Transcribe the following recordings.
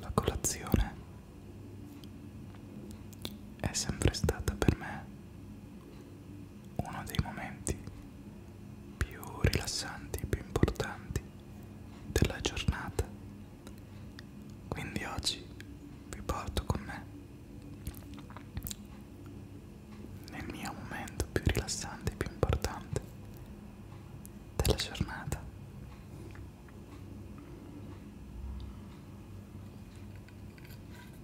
La colazione è sempre stata per me uno dei momenti più rilassanti, più importanti della giornata. Quindi oggi vi porto con me nel mio momento più rilassante, più importante della giornata.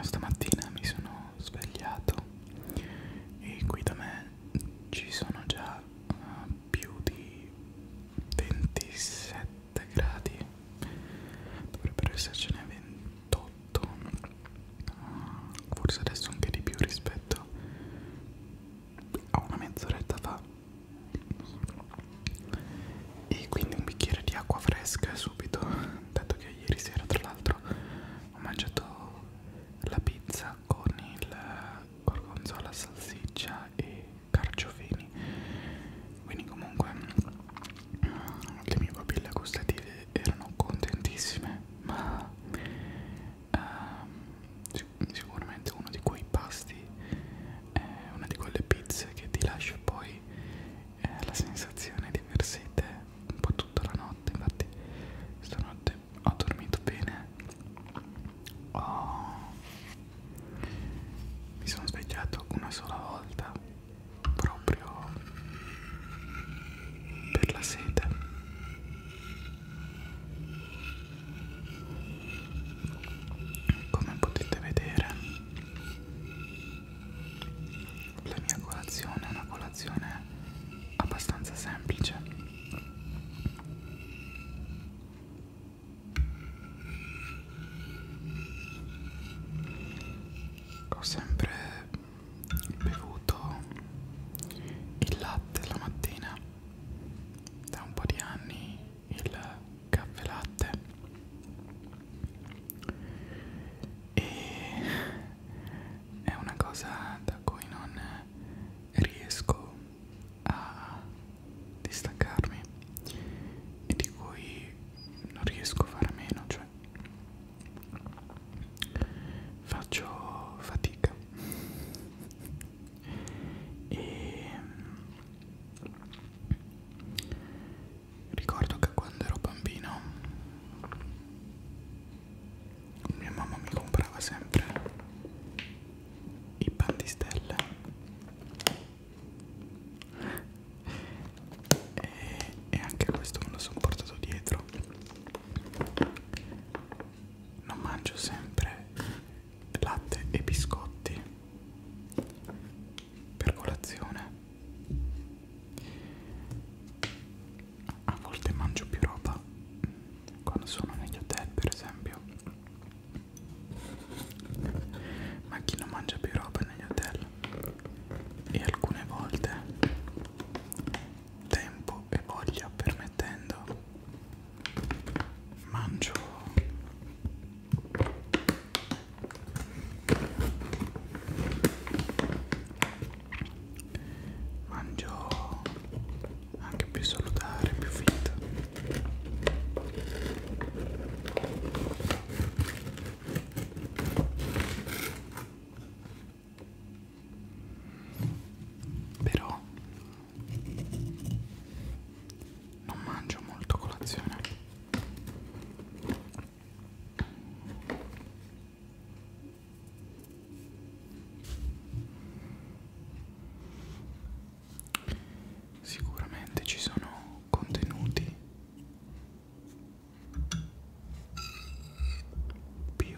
stamattina mi sono svegliato e qui da me ci sono già uh, più di 27 gradi dovrebbero essercene 28 uh, eh, forse adesso anche di più rispetto a una mezz'oretta fa e quindi un bicchiere di acqua fresca subito dato che perché ieri sera tra l'altro ho mangiato la pizza con il gorgonzola, salsiccia e carciofini quindi comunque le mie papille gustative erano contentissime ma ehm, sicuramente uno di quei pasti è una di quelle pizze che ti lascia poi eh, la sensazione di aver sete un po' tutta la notte, infatti stanotte ho dormito bene, oh, mi sono svegliato una sola volta proprio per la sete. Come potete vedere la mia colazione è una colazione abbastanza semplice. Ho sempre bevuto il latte la mattina. Da un po' di anni il caffè latte e è una cosa da cui non riesco a distaccarmi e di cui non riesco a fare meno cioè faccio fatica e ricordo che quando ero bambino mia mamma mi comprava sempre i pan di stelle e, e anche questo me lo sono portato dietro non mangio sempre latte e biscotti per colazione a volte mangio più roba quando sono negli hotel per esempio ma chi non mangia più roba negli hotel e alcune volte tempo e voglia permettendo mangio mangio anche più salutare più fit però non mangio molto colazione sicuramente ci sono contenuti più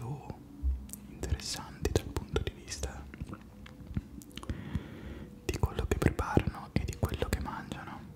interessanti dal punto di vista di quello che preparano e di quello che mangiano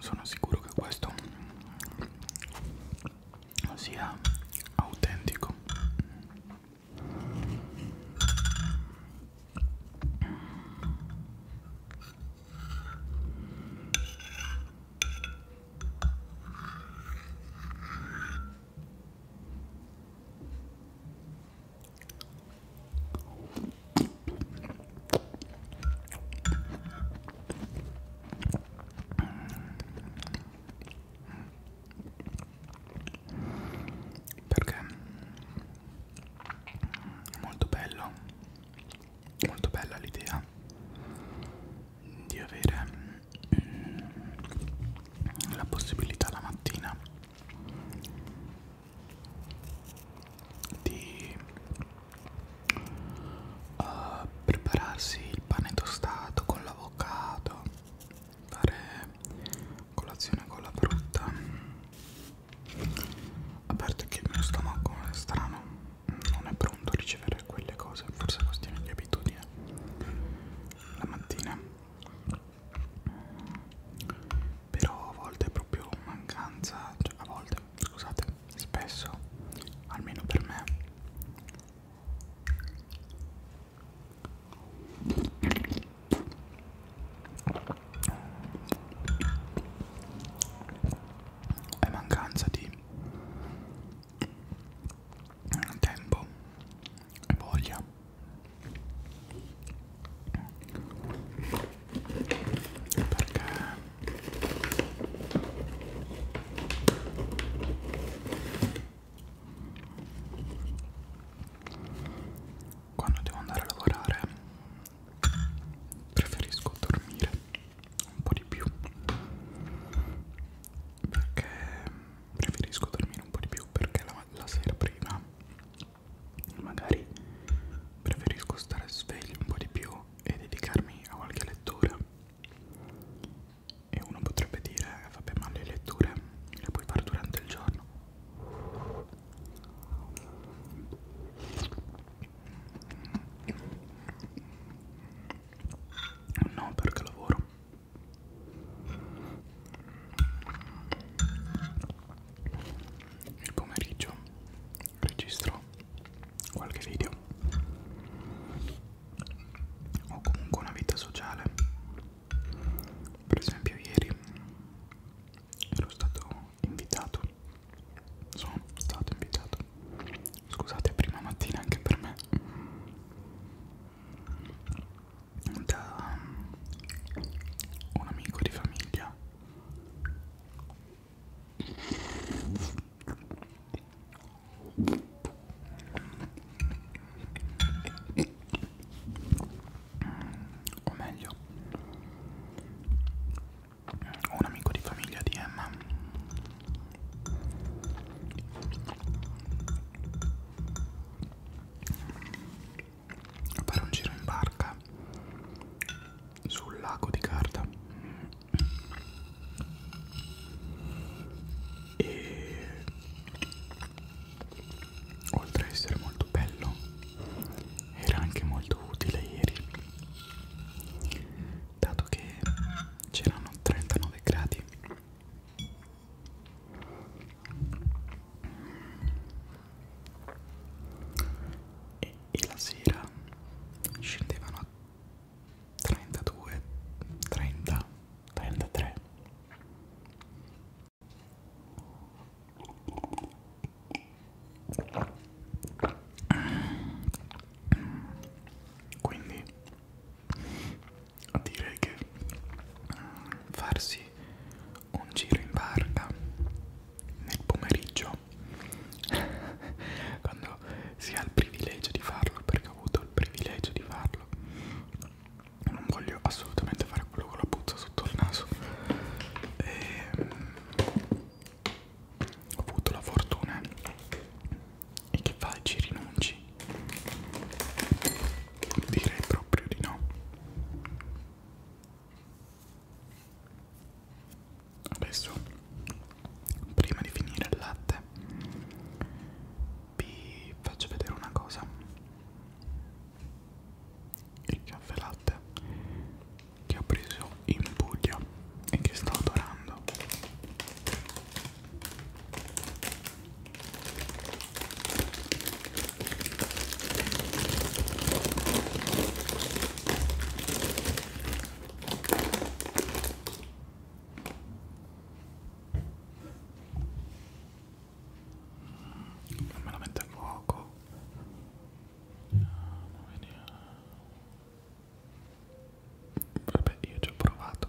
sono sicuro che questo sia autentico perché è molto bello molto bella l'idea di avere mm, la possibilità la mattina di uh, prepararsi il pane tostato con l'avocado, fare colazione con la frutta. A parte che il mio stomaco è strano, non è pronto a ricevere quelle cose, forse è questione di abitudine. La mattina però a volte è proprio mancanza, cioè a volte, scusate, spesso, almeno per me è mancanza di tempo e voglia perché quando devo andare a lavorare preferisco dormire un po' di più perché preferisco dormire un po' di più perché la, la sera prima magari preferisco stare sveglio un po' di più e dedicarmi a qualche lettura e uno potrebbe dire vabbè ma le letture le puoi fare durante il giorno no perché lavoro il pomeriggio registro qualche video o comunque una vita sociale per esempio ieri ero stato invitato sono stato invitato scusate prima mattina anche per me da um, un amico di famiglia o meglio un amico di famiglia di Emma a fare un giro in barca sul lago di carta e oltre a essere molto bello era anche molto utile ieri dato che c'erano 39 gradi e, e la sera scendevano a 32, 30, 33 quindi direi che farsi un giro in barca nel pomeriggio quando si ha il privilegio di farlo perché ho avuto il privilegio di farlo non voglio assolutamente fare quello con la puzza sotto il naso e, ehm, ho avuto la fortuna e che fai ci rinunci Direi proprio di no. Adesso, prima di finire il latte, vi faccio vedere una cosa. Il caffè latte che ho preso in Puglia e che sto adorando non me la metto a fuoco no, vediamo. vabbè io ci ho provato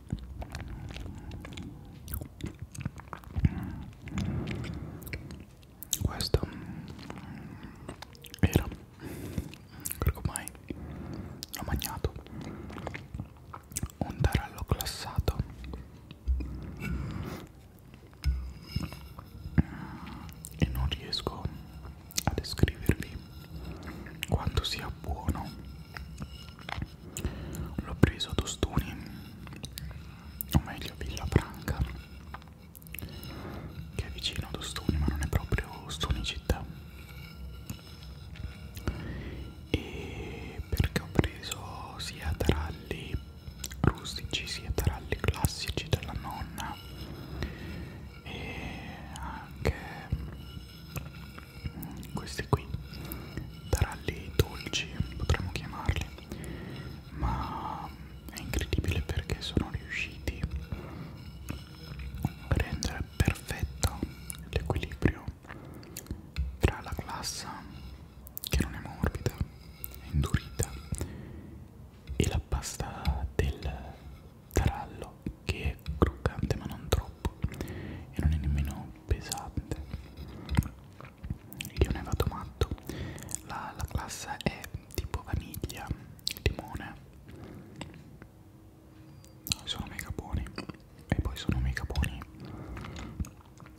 questo era quello che mai ho mangiato un tarallo glassato e non riesco a descrivervi quanto sia buono l'ho preso a Tostuni o meglio Villa Franca che è vicino a Tostuni ma non è proprio Tostuni città e perché ho preso sia taralli rustici sia taralli classici della nonna e anche questi qui taralli dolci potremmo chiamarli ma è incredibile perché sono riusciti a rendere perfetto l'equilibrio tra la glassa che non è morbida è indurita e la pasta del tarallo bello che è croccante ma non troppo e non è nemmeno pesante io ne vado matto la, la classe è tipo vaniglia limone sono mega buoni e poi sono mega buoni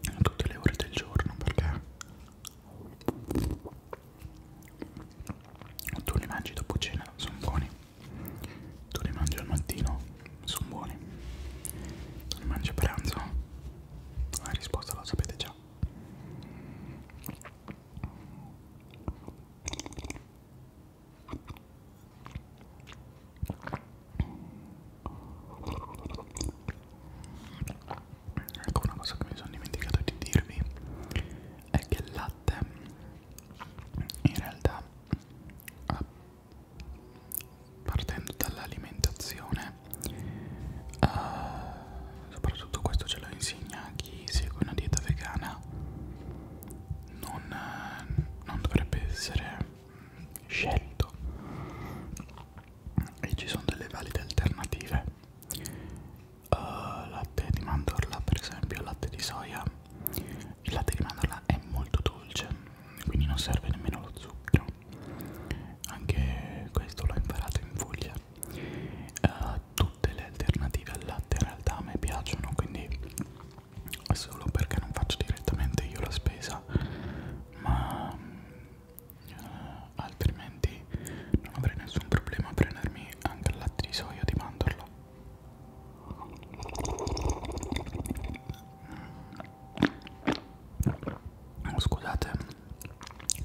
a tutte le ore del giorno perché tu li mangi dopo cena sono buoni tu li mangi al mattino? Sono buoni. Tu li mangi a pranzo? La risposta la sapete già. Ecco una cosa che mi sono dimenticato di dirvi è che il latte in realtà ah, partendo dall'alimentazione uh, soprattutto questo ce lo insegna chi segue una dieta vegana non, eh, non dovrebbe essere scelto e ci sono delle valide alternative uh, latte di mandorla per esempio latte di soia il latte di mandorla è molto dolce quindi non serve nemmeno lo zucchero anche questo l'ho imparato in Puglia uh, tutte le alternative al latte in realtà a me piacciono quindi solo perché non faccio direttamente io la spesa ma uh, altrimenti non avrei nessun problema a prendermi anche il latte di soia o di mandorla Oh, scusate,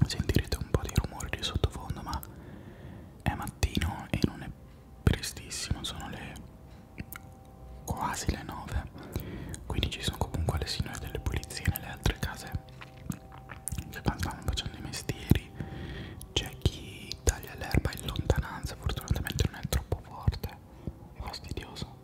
sentirete un po' di rumori di sottofondo, ma è mattino e non è prestissimo, sono le quasi le 9, quindi ci sono comunque le signore delle pulizie nelle altre case che stanno facendo i mestieri metri c'è chi taglia l'erba in lontananza fortunatamente non è troppo forte è fastidioso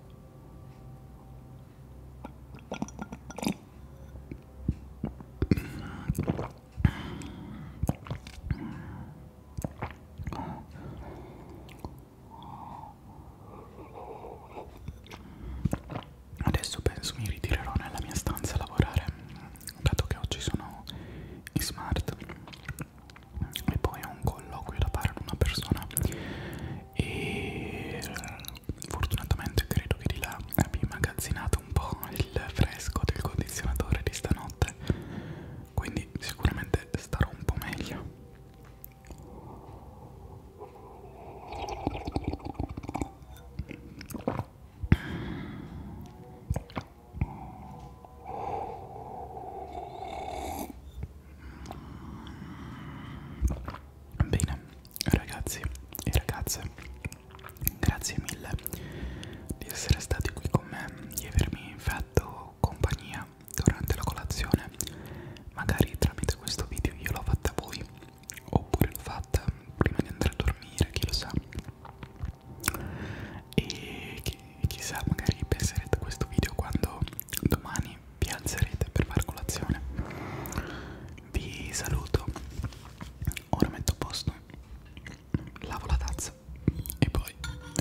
Adesso penso mi ritirerò nella mia stanza a lavorare dato che oggi sono in smart e poi ho un colloquio da fare ad una persona e fortunatamente credo che di là abbia immagazzinato un po' il fresco del condizionatore di stanotte quindi sicuramente starò un po' meglio Bene, ragazzi e ragazze, grazie mille di essere stati qui con me, di avermi fatto compagnia durante la colazione. Magari tramite questo video io l'ho fatta a voi, oppure l'ho fatta prima di andare a dormire, chi lo sa e chi, chissà magari penserete a questo video quando domani vi alzerete per far colazione vi saluto ora metto a posto lavo la tazza e poi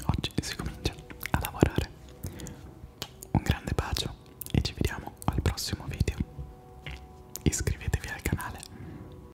oggi si comincia a lavorare un grande bacio e ci vediamo al prossimo video iscrivetevi al canale